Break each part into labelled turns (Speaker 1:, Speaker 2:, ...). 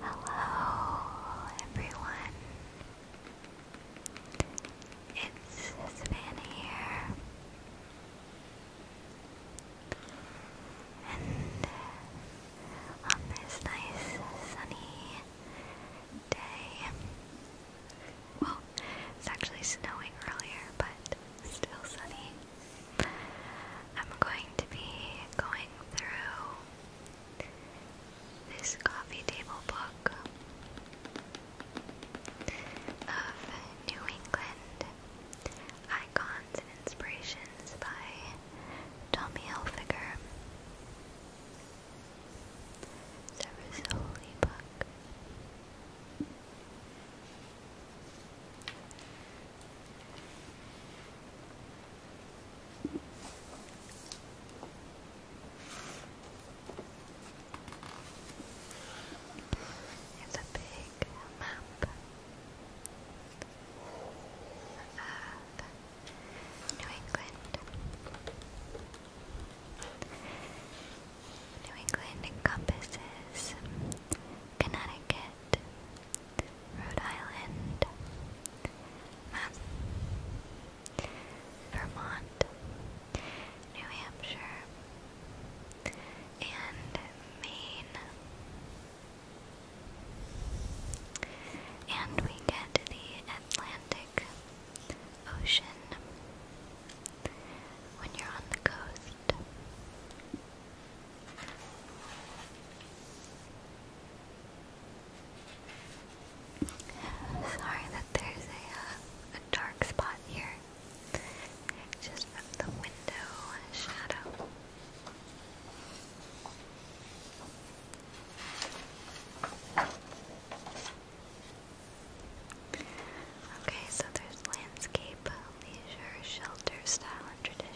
Speaker 1: Hello, everyone. It's Savannah here, and on this nice sunny day, well, it's actually snowing earlier, but still sunny. I'm going to be going through this coffee table book of New England Icons and Inspirations by Tommy Hilfiger. It's a really book. It's a big map of New England. New England encompasses Connecticut, Rhode Island, Mass Vermont, New Hampshire, and Maine. And we get the Atlantic Ocean when you're on the coast. Sorry that there's a, uh, a dark spot here, just the window shadow. Okay, so there's landscape, leisure, shelter, style, and tradition.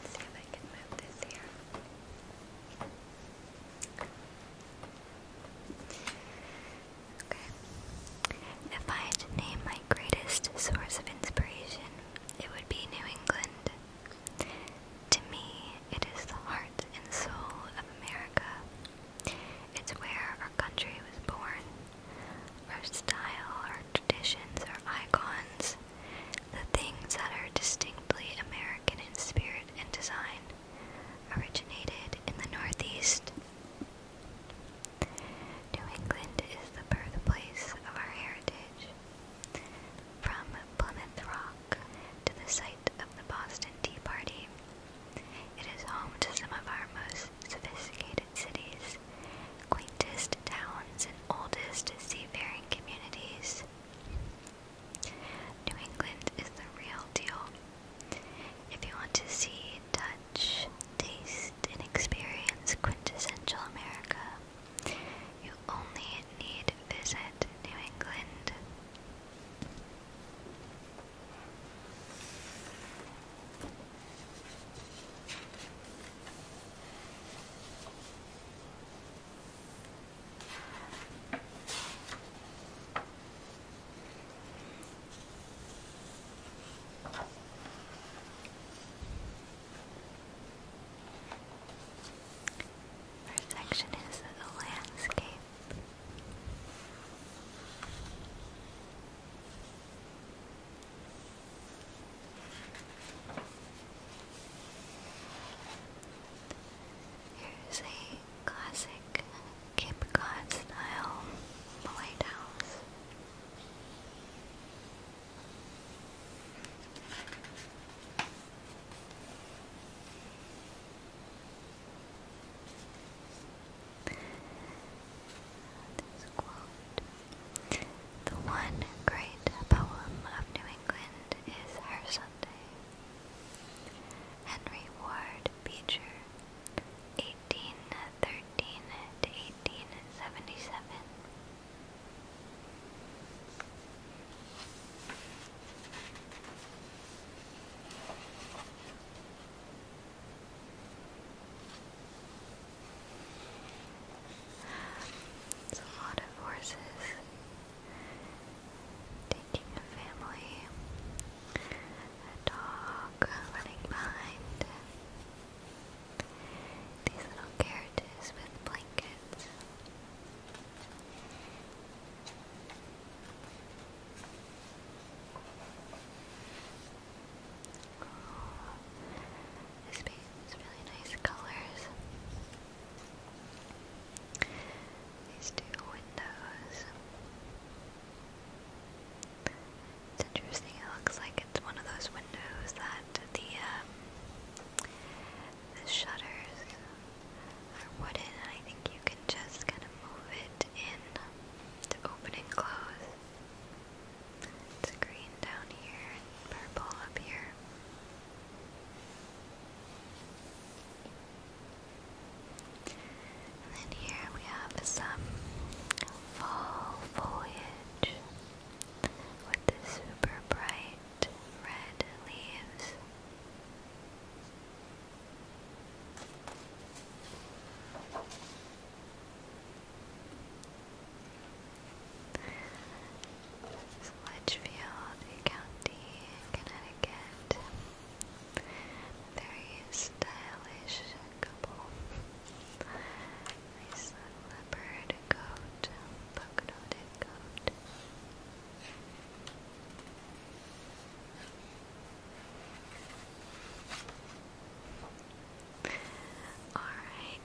Speaker 1: Let's see if I can move this here. Okay. If I had to name my greatest source of inspiration it would be New England. To me, it is the heart and soul of America. It's where our country was born. Our style, our traditions, our icons, the things that are distinctly American in spirit and design, originated in the Northeast. New England is the birthplace of our heritage. From Plymouth Rock to the site of the Boston Tea Party, it is home to some of our most sophisticated cities, quaintest towns, and oldest seafaring communities. New England is the real deal. If you want to see, touch, taste, and experience quintessential America, you only need visit New England. First section is a landscape. Here's classic Cape Cod style lighthouse. The one great poem of New England is Her Sunday. Henry Ward Beecher, 1813 to 1877. It's a lot of horses taking a family, a dog running behind. These little carriages with blankets. Oh, this paint's really nice colors. These two windows. It's interesting. It looks like it's one of those windows that the um, the shutters are wooden, and I think you can just kind of move it in to open and close. It's green down here and purple up here. And then here we have some fall foliage with the super bright red leaves. Litchfield County, Connecticut. Very stylish example. Nice coat, buck-noted coat. Alright.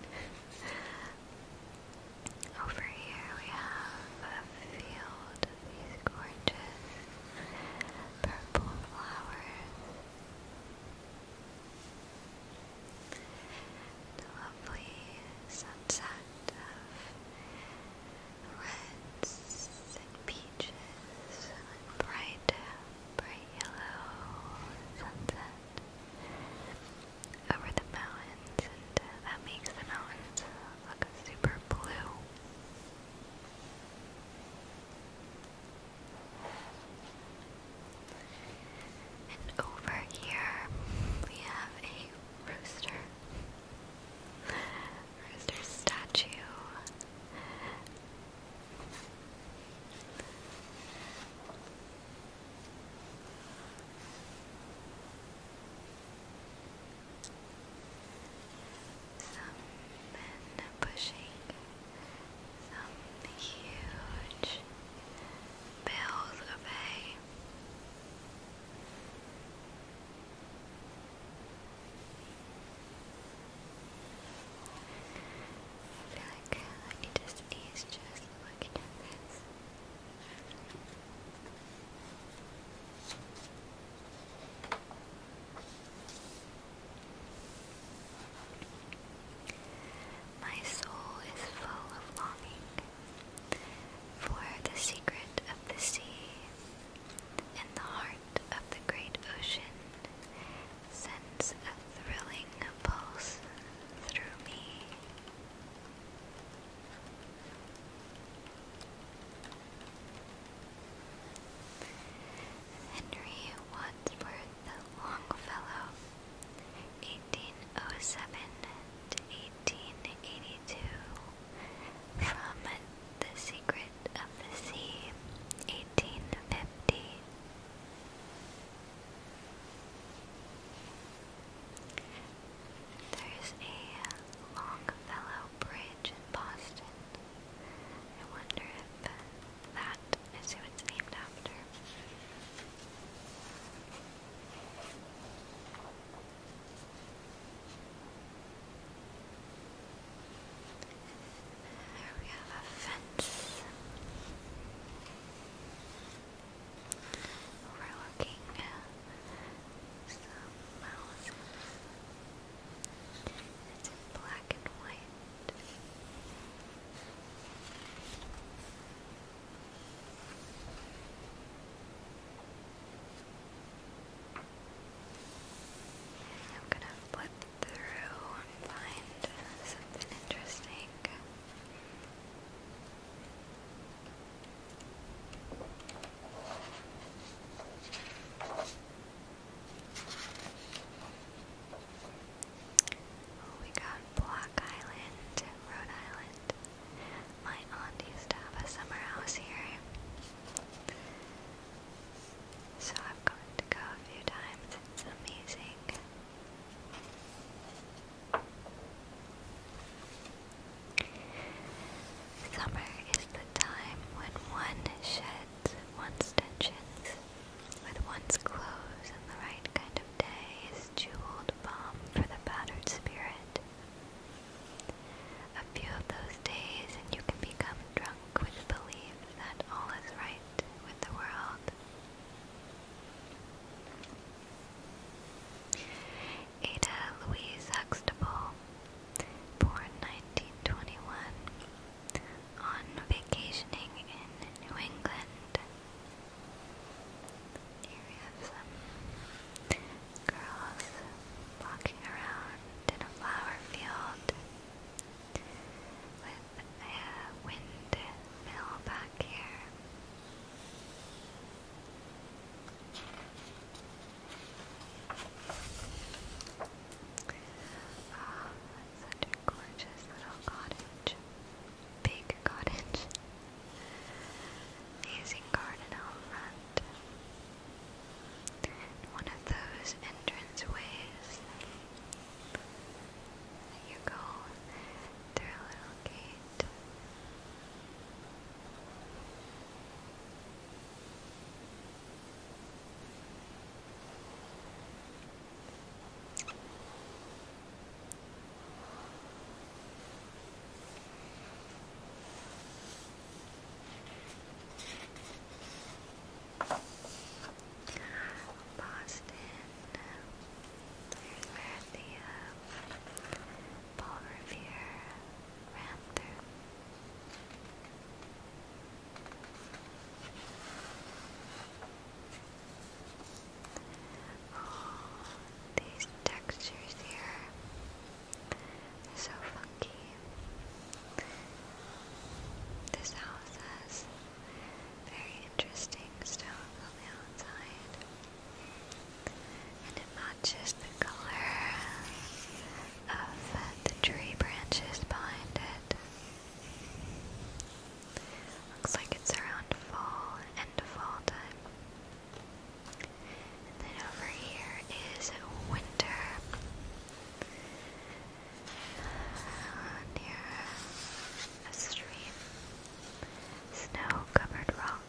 Speaker 1: Over here we have a field of these gorgeous purple flowers. The lovely sunset of reds and peaches and bright, bright yellow sunset over the mountains, and uh, that makes the mountains look super blue. And over here we have a rooster. Rooster statue. Some men pushing some huge bales of hay. feel like I need to just looking at this. My soul is full of longing for the secret of the sea. In the heart of the great ocean sends a thrilling pulse through me. Henry Wadsworth Longfellow, 1807 to 1882, from The Secret of the Sea, 1850. There's a Longfellow Bridge in Boston. I wonder if that is who it's named after. There we have a fence. Overlooking uh, some houses. It's in black and white. I'm gonna flip through and find something interesting. Oh, we got Block Island, Rhode Island. My aunt used to have a summer house here. So I've gotten to go a few times. It's amazing. Summer is the time when one sheds one's tensions with one's clothes and the right kind of day is jeweled balm for the battered spirit. A few of those days, and you can become drunk with belief that all is right with the world. Ada Louise Huxtable, born 1921, on vacationing in New England. Here have some girls walking around in a flower field with a windmill back here. Oh, such a gorgeous little cottage. Big cottage. Amazing garden out front. One of those entrance ways you go through a little gate. Boston. There's where the Paul Revere ran through. Oh, these textures here are so funky. This house has very interesting stones on the outside, and it matches the color of the tree branches behind it. Looks like it's around fall, end of fall time. And then over here is winter. Uh, near a stream. Snow covered rock,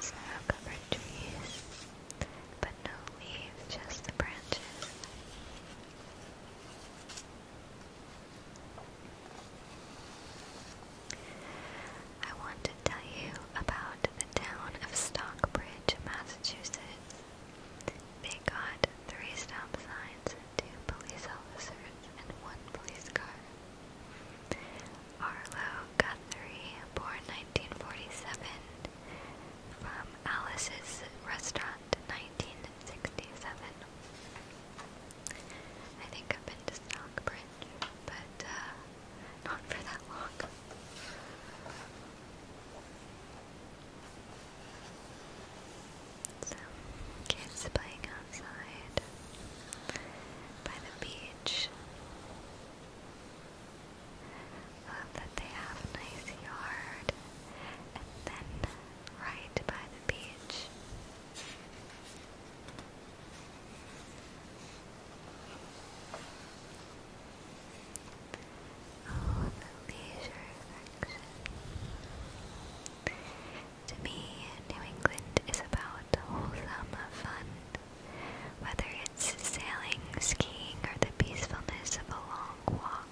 Speaker 1: snow covered trees, but no leaves, just the branches. I want to tell you about the town of Stockbridge, Massachusetts. They got three stop signs, two police officers, and one police car. Arlo Guthrie, born 1947, from Alice's Restaurant and 1967. I think I've been to Stockbridge, but uh, not for that long. kids playing outside by the beach. Love that they have a nice yard, and then right by the beach. Oh, the leisure section. To me, New England is about wholesome fun, whether it's sailing, skiing, or the peacefulness of a long walk.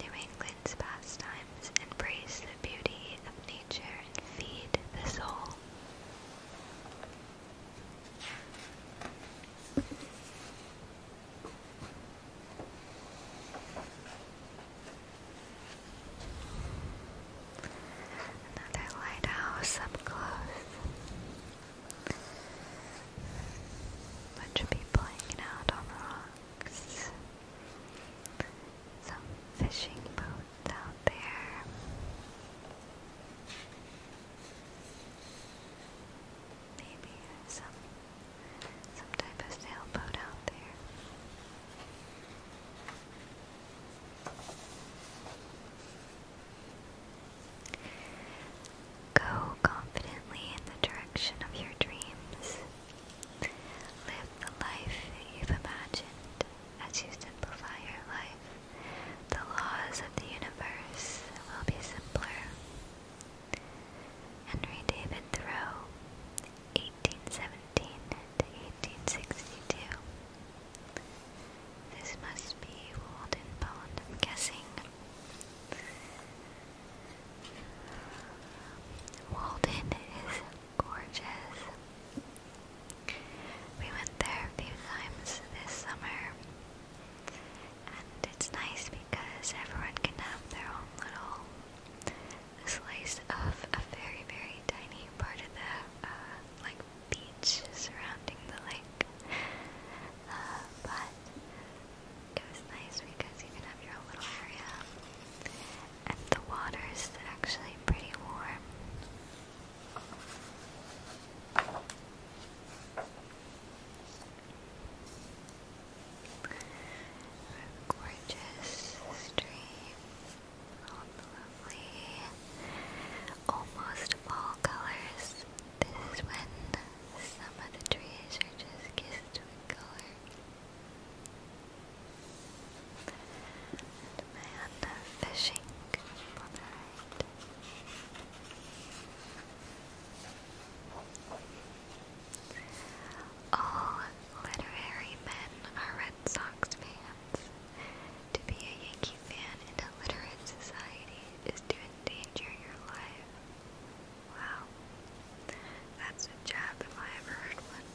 Speaker 1: New England's pastimes embrace the beauty of nature and feed the soul. Another lighthouse up close. Bunch of people hanging out on the rock. Some fishing boats out there. Maybe some some type of sailboat out there. Go confidently in the direction of your dreams. Live the life you've imagined as you simplify your life. The laws of the universe will be simpler. Henry David Thoreau, 1817 to 1862. This must be Walden Pond, guessing. Walden is gorgeous. We went there a few times this summer, and it's nice because everyone can have their own little slice of a very, very tiny part of the uh, like beach surrounding the lake. Uh, but it was nice because you can have your little area. And the water is actually pretty warm. gorgeous stream, all lovely, almost fall colors. This is when some of the trees are just kissed color. And my Anna fishing All literary men are Red Sox fans. To be a Yankee fan in a literate society is to endanger your life. Wow. That's a jab if I ever heard one.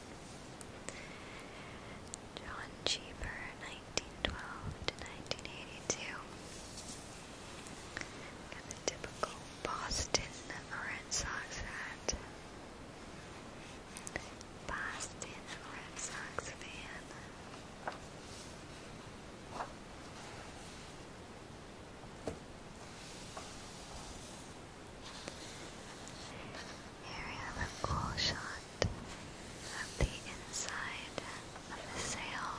Speaker 1: John Cheever, 1912 to 1982. typical Boston Red Sox hat. Boston Red Sox fan. Here we have a cool shot of the inside of the sail.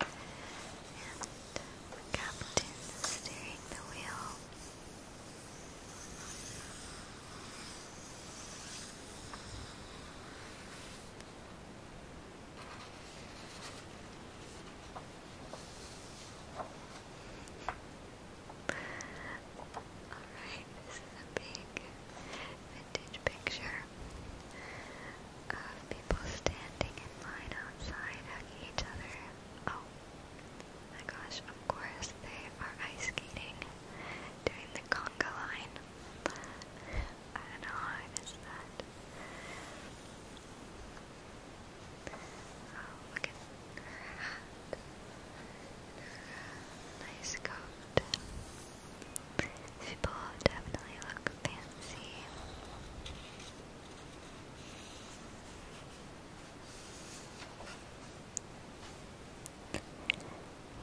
Speaker 1: And the captain steering the wheel. Alright, this is a big vintage picture of people standing in line outside hugging each other. Oh my gosh, of course they are ice skating doing the conga line. I don't know how I missed that. Oh, look at her hat. Nice coat. People definitely look fancy.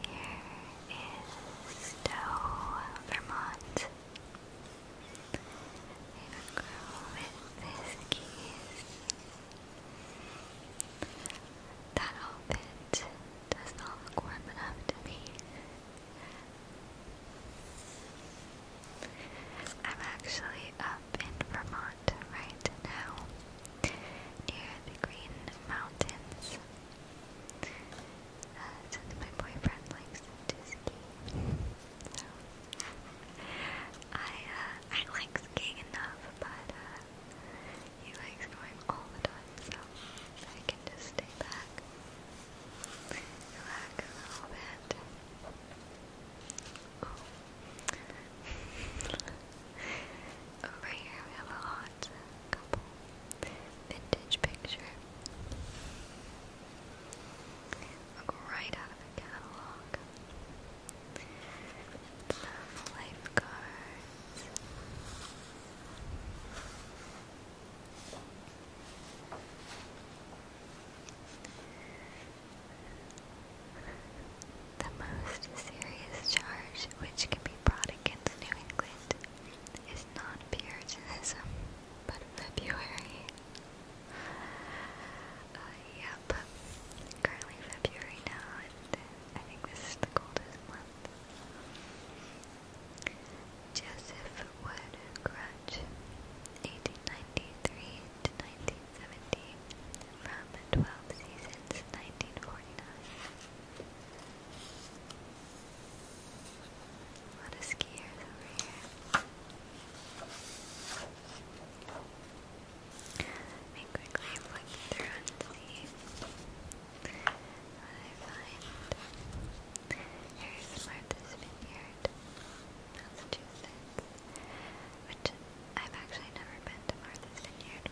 Speaker 1: Here is Stowe, Vermont. They grow with piskies. That outfit does not look warm enough to me. I'm actually up in Vermont right now, near the Green Mountains. Uh, since my boyfriend likes to ski, so I uh, I like skiing enough, but uh, he likes going all the time, so I can just stay back, relax a little bit. Over here we have a hot couple. Vintage picture. Look right out of the catalog. Some lifeguards. The most serious charge which can be brought against New England it's not Puritanism, but February. Uh, yep, currently February now, and I think this is the coldest month. Joseph Wood Grudge, 1893 to 1970, from 12 seasons, 1949. A lot of skiers over here. I quickly am through and see what I find. Here's Martha's Vineyard, Massachusetts, which I've actually never been to Martha's Vineyard.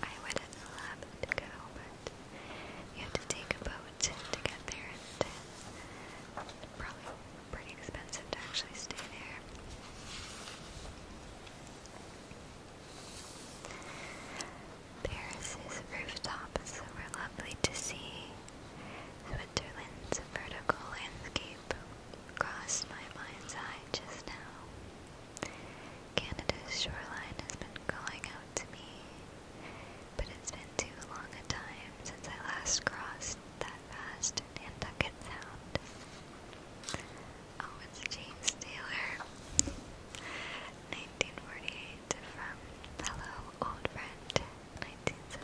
Speaker 1: I would have to go, but you have to take a boat to get there, and it's probably pretty expensive to actually stay there. Paris's rooftops were lovely to see. Switzerland's vertical landscape crossed my mind's eye just now. Canada's shoreline has been calling out to me, but it's been too long a time since I last crossed that vast Nantucket Sound. Oh, it's James Taylor. 1948 from Hello Old Friend 1974.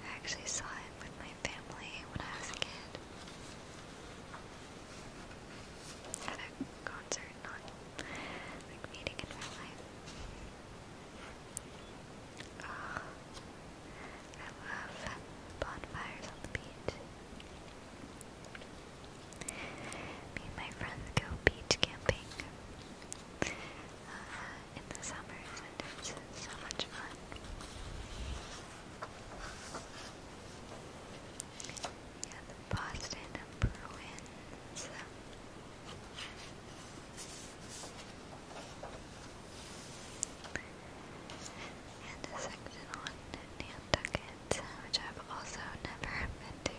Speaker 1: I actually saw it with my family when I was a kid at a concert, not like meeting in real life. Ah, I love bonfires on the beach. Me and my friends go beach camping uh, in the summers, and it's so much fun. Yeah, the Boston Bruins. And a section on Nantucket, which I've also never been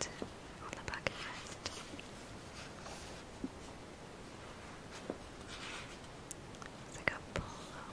Speaker 1: to, but on the bucket list. It's like a polo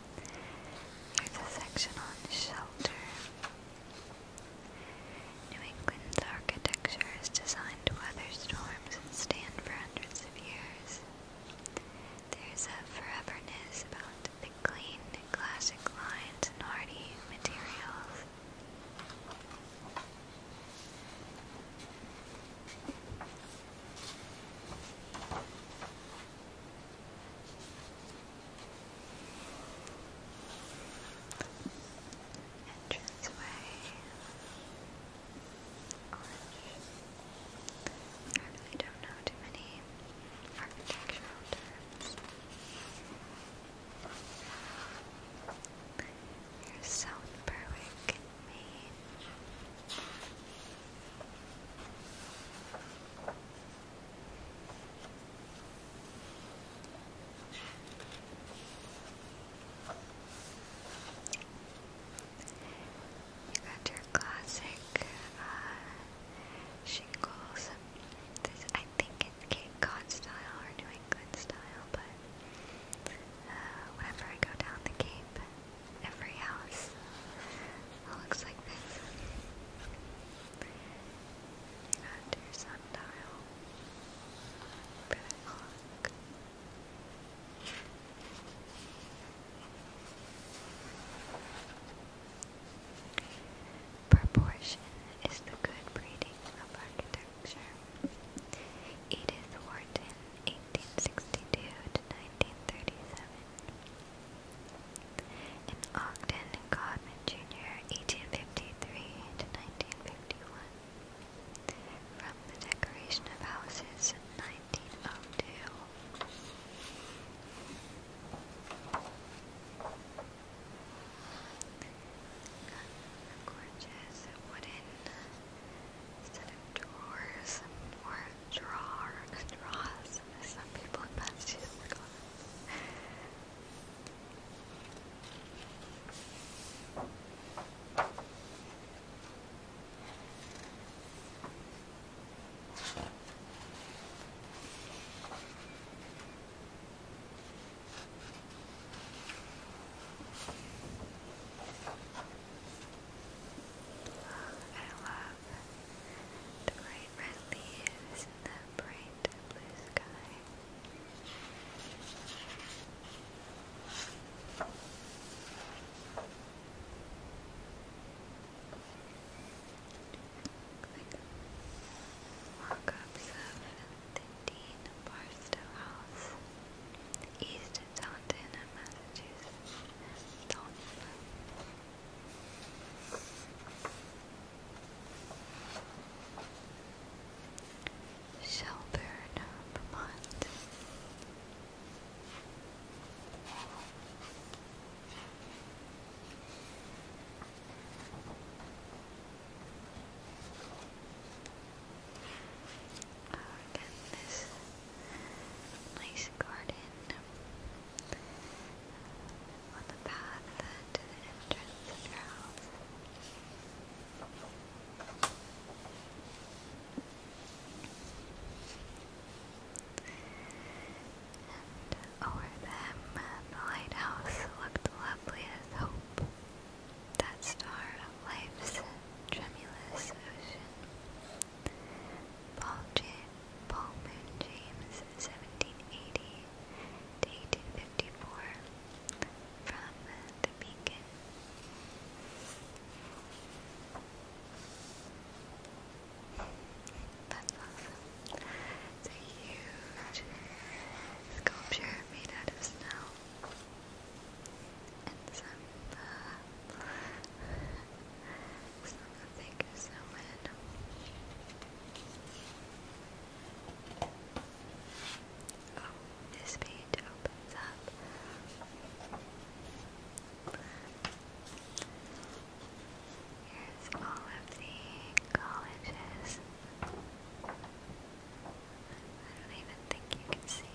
Speaker 1: There's a section on shelter. New England's architecture is designed to weather storms and stand for hundreds of years. There's a foreverness about the clean, classic lines and hardy materials. Entrance way. I really don't know too many architectural terms. Here's South Berwick, Maine. You got your classic uh, shingles. This, I think it's Cape style or New England style, but uh, whenever I go down the Cape, every house it looks like this. You got your sundial. Proportion is the good breeding of architecture. Edith Wharton, 1862 to 1937. In Ogden, Godman Jr., 1853 to 1951. From the Decoration of Houses, 1902. Gorgeous wooden set of drawers drawer, draws, some people in oh Massachusetts call I love the bright red leaves in the bright blue sky. Like of the Dean Barstow House, East Taunton, Massachusetts. Taunton. Shelburne, Vermont. Oh, again, this nice garden on the path to the entrance of your house. And over them, the lighthouse looked lovely as hope, that star of life's tremulous ocean. Paul, Jan Paul Moon James, 1780 to 1854, from the Beacon. That's awesome. a huge sculpture made out of snow and some uh, it's not going so bad. Oh, this page opens up. Here's all of the colleges. I don't even think you can see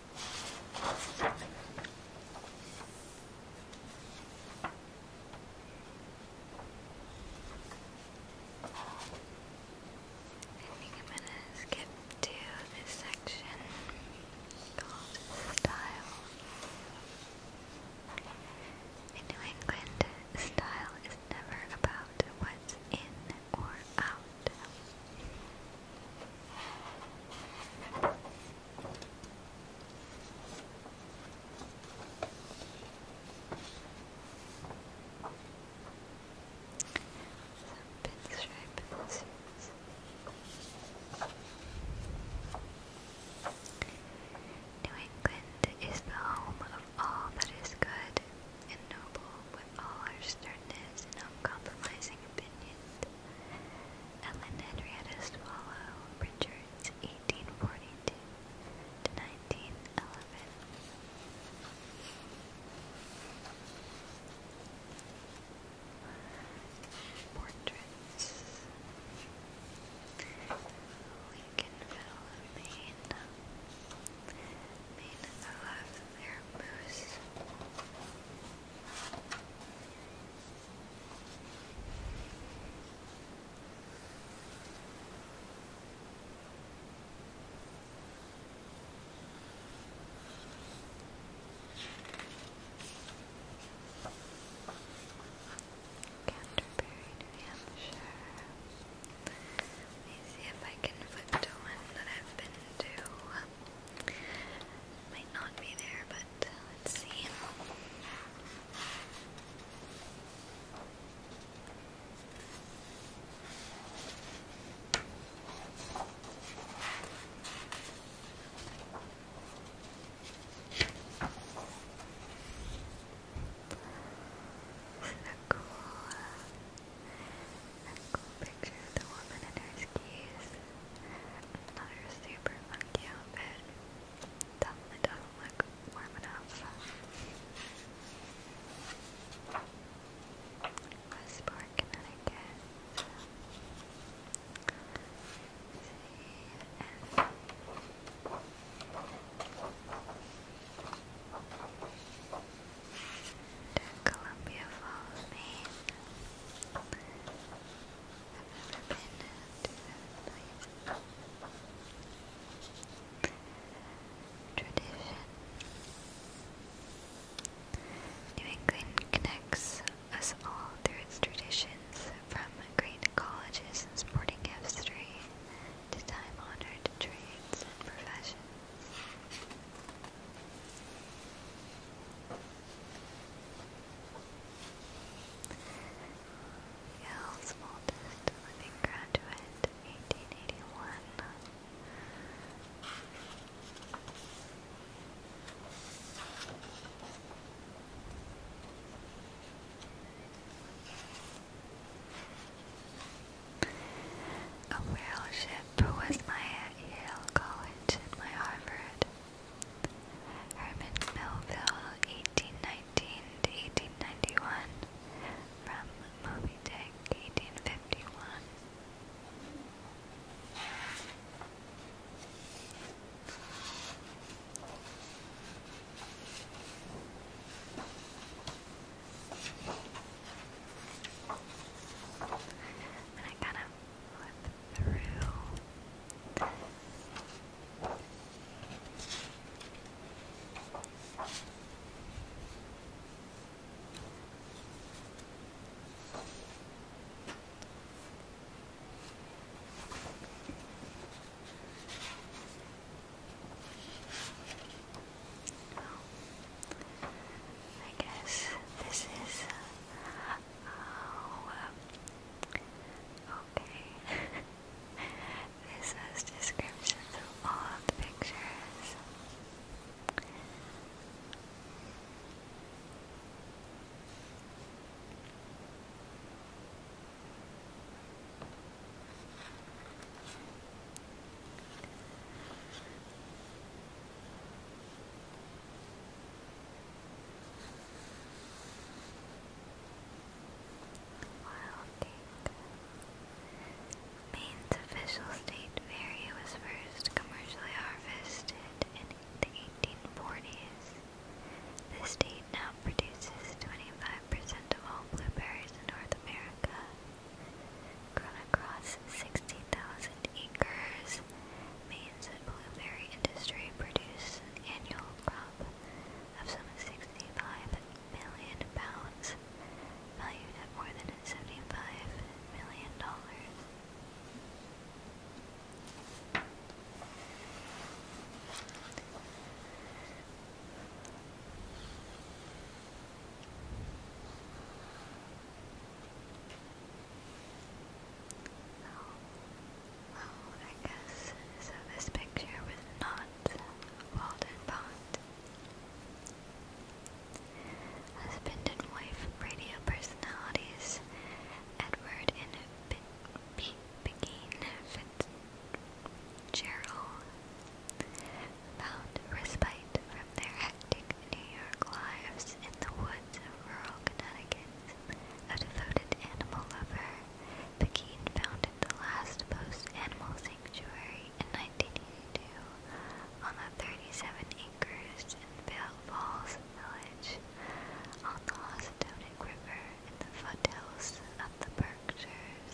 Speaker 1: I you i gonna skip to this section called Style. In New England, style is never about what's in or out pinstripe scissors. New England is the home of all that is good and noble with all her sternness and uncompromising opinions. Ellen Henrietta Swallow Richards, 1842 to 1911. Portraits. Lincolnville, Maine. Maine, I love their moose. Canterbury, New Hampshire. Let me see if I can flip to one that I've been to. Might not be there, but uh, let's see. This is a cool, uh, a cool picture of the woman in her skis. Another super funky outfit. Definitely doesn't look warm enough. Westport, Connecticut. See, Columbia Falls, Maine. I've New England connects us all through its traditions, from great colleges and sporting history to time honored trades and professions. Yale's oldest living graduate, 1881. A whale ship lip was my Yale College and my Harvard. Herman Melville, 1819 to 1891, from Moby Dick, 1851. And I kind of flip through. I guess this is uh, Oh, um, okay. this has descriptions of all the pictures. Maine's official state berry was first commercially harvested in the 1840s. The state now produces 25% of all blueberries in North America, grown across 60,000 acres means that blueberry industry produces an annual crop of some 65 million pounds, valued at more than $75 million. Oh, well, I guess so this picture was not Walden Bond. Husband and wife radio personalities Edward and B B Begin Fitzgerald found respite from their hectic New York lives in the woods of rural Connecticut. A devoted animal lover, Pekin founded the last post animal sanctuary in 1982 on the 37 acres in Vale Falls Village on the Houstonic River in the foothills of the Berkshires.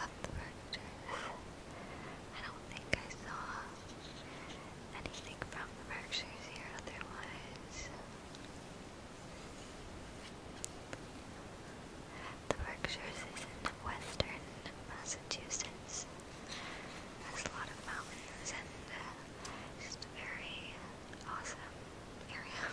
Speaker 1: I love the Berkshires. I don't think I saw anything from the Berkshires here otherwise. The Berkshires is in western Massachusetts. There's a lot of mountains and uh, just a very awesome area.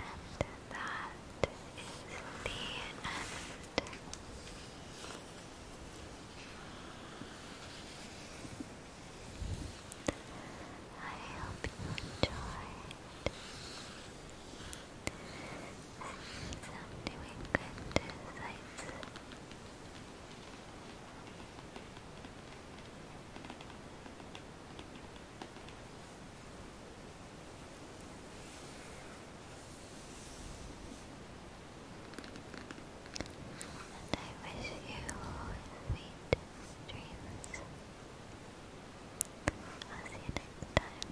Speaker 1: And that is the end. I hope you enjoyed. Since i good to and I wish you sweet dreams. I'll see you next time.